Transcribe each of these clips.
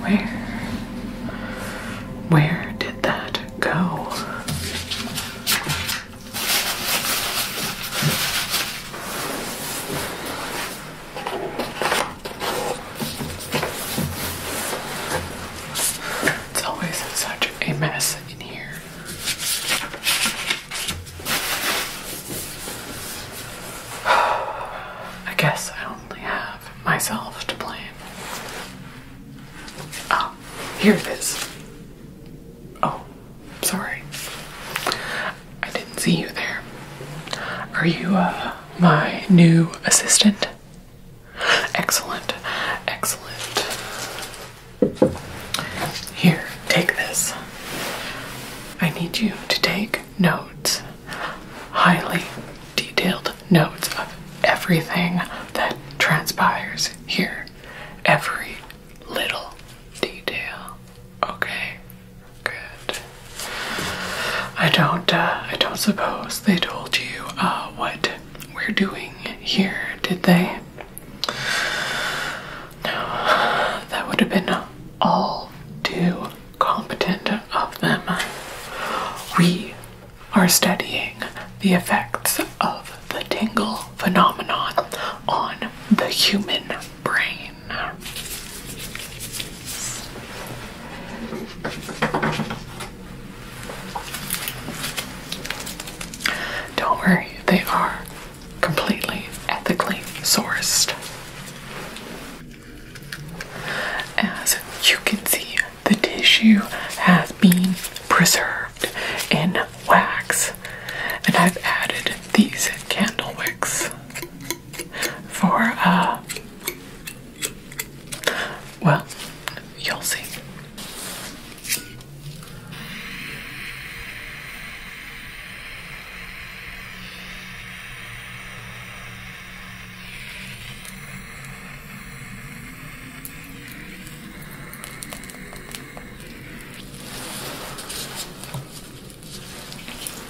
Where? Where did that go? It's always such a mess in here. I guess I only have myself to blame. Oh, here it is. Oh, sorry. I didn't see you there. Are you, uh, my new assistant. Excellent, excellent. Here, take this. I need you to take notes, highly detailed notes of everything that transpires here. Every little detail. Okay, Good. I don't. Uh, I don't suppose they told you uh, what we're doing here, did they? No. That would have been all too competent of them. We are studying the effects of the tingle phenomenon on the human brain. Don't worry, they are completely ethically sourced. As you can see, the tissue has been preserved in wax, and I've added these candle wicks for uh, well, you'll see.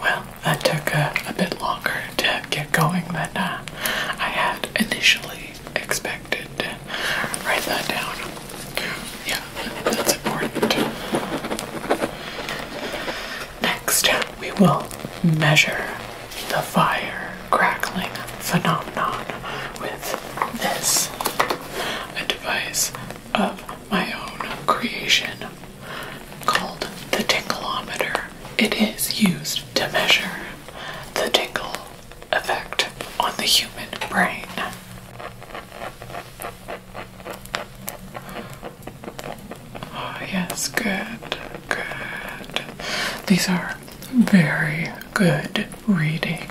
Well, that took a bit longer to get going than uh, I had initially expected. Write that down. Yeah, that's important. Next, we will measure the fire crackling phenomenon with this, a device of my own creation called the tinkleometer. It is used to measure the tingle effect on the human brain. Oh, yes, good, good. These are very good readings.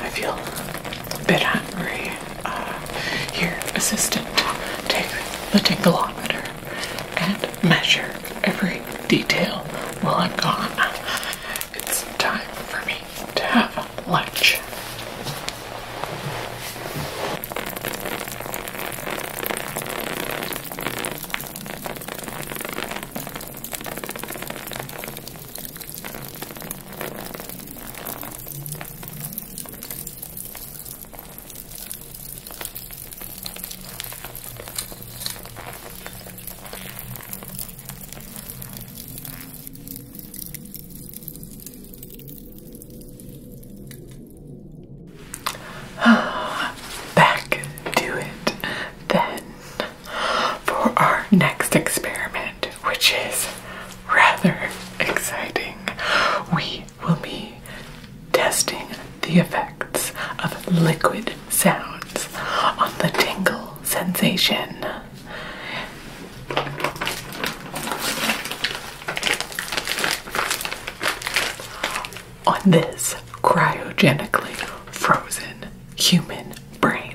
I feel a bit hungry. Uh, here, assistant, take the tachometer and measure every detail while I'm gone. It's time for me to have lunch. Back to it then for our next experiment, which is rather exciting. We will be testing the effects of liquid sounds on the tingle sensation on this cryogenically frozen human brain.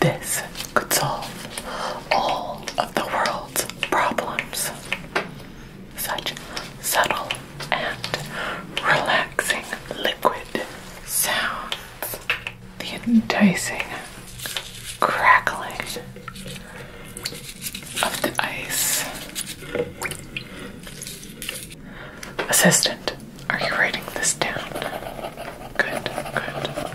This could solve all of the world's problems. Such subtle and relaxing liquid sounds. The enticing crackling of the ice. Assistant, are you writing this down? Good, good.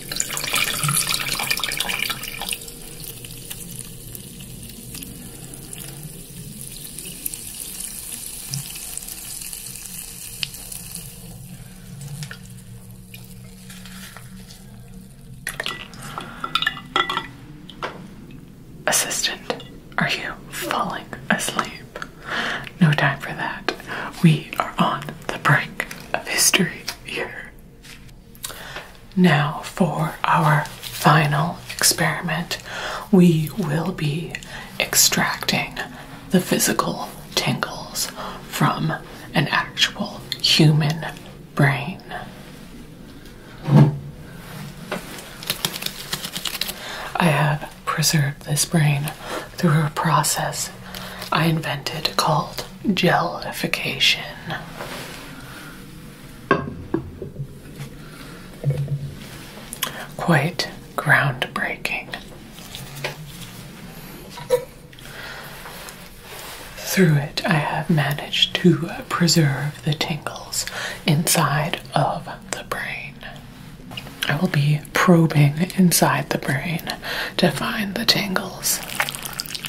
Assistant, are you falling asleep? No time for that. We are on the brink of history here. Now, for our final experiment, we will be extracting the physical tingles from an actual human brain. I have preserved this brain through a process I invented called gelification. Quite groundbreaking. Through it, I have managed to preserve the tangles inside of the brain. I will be probing inside the brain to find the tangles.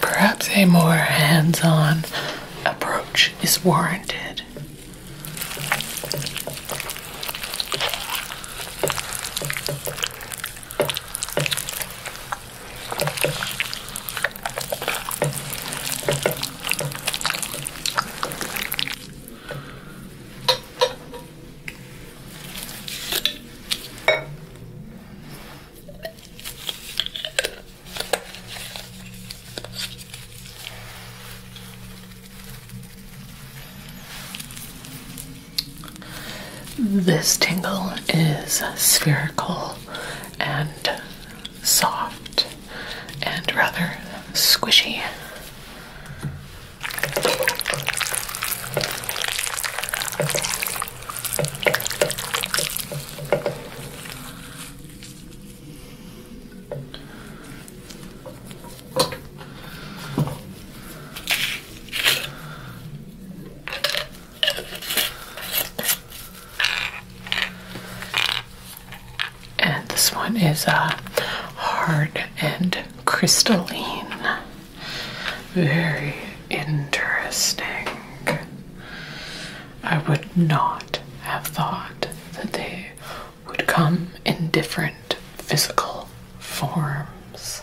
Perhaps a more hands on approach is warranted. This tingle is spherical and soft and rather squishy. And this one is a uh, hard and crystalline. Very interesting. I would not have thought that they would come in different physical forms.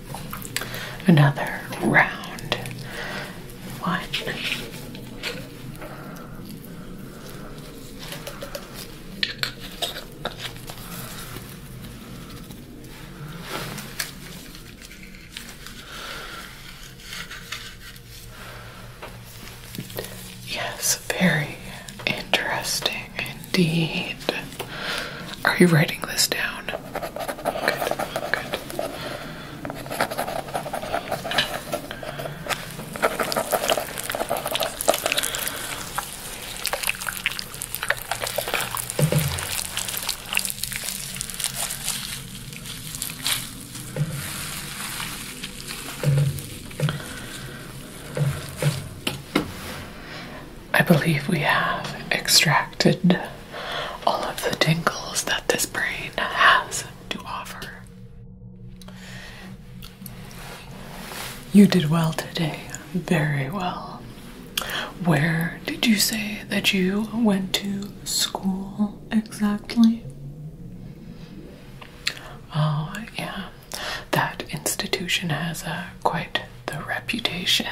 another round. One. Yes, very interesting indeed. Are you writing this down? Good, good. I believe we have extracted all of the tingles that this brain has to offer. You did well today, very well. Where did you say that you went to school exactly? Oh, yeah, that institution has a uh, quite the reputation.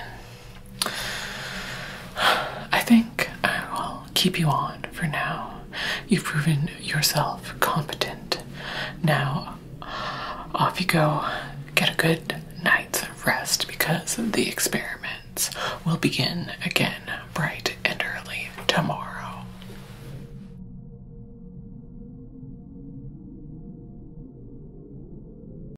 I think I will keep you on for now. You've proven yourself competent. Now, off you go. Get a good night's rest because the experiments will begin again bright and early tomorrow.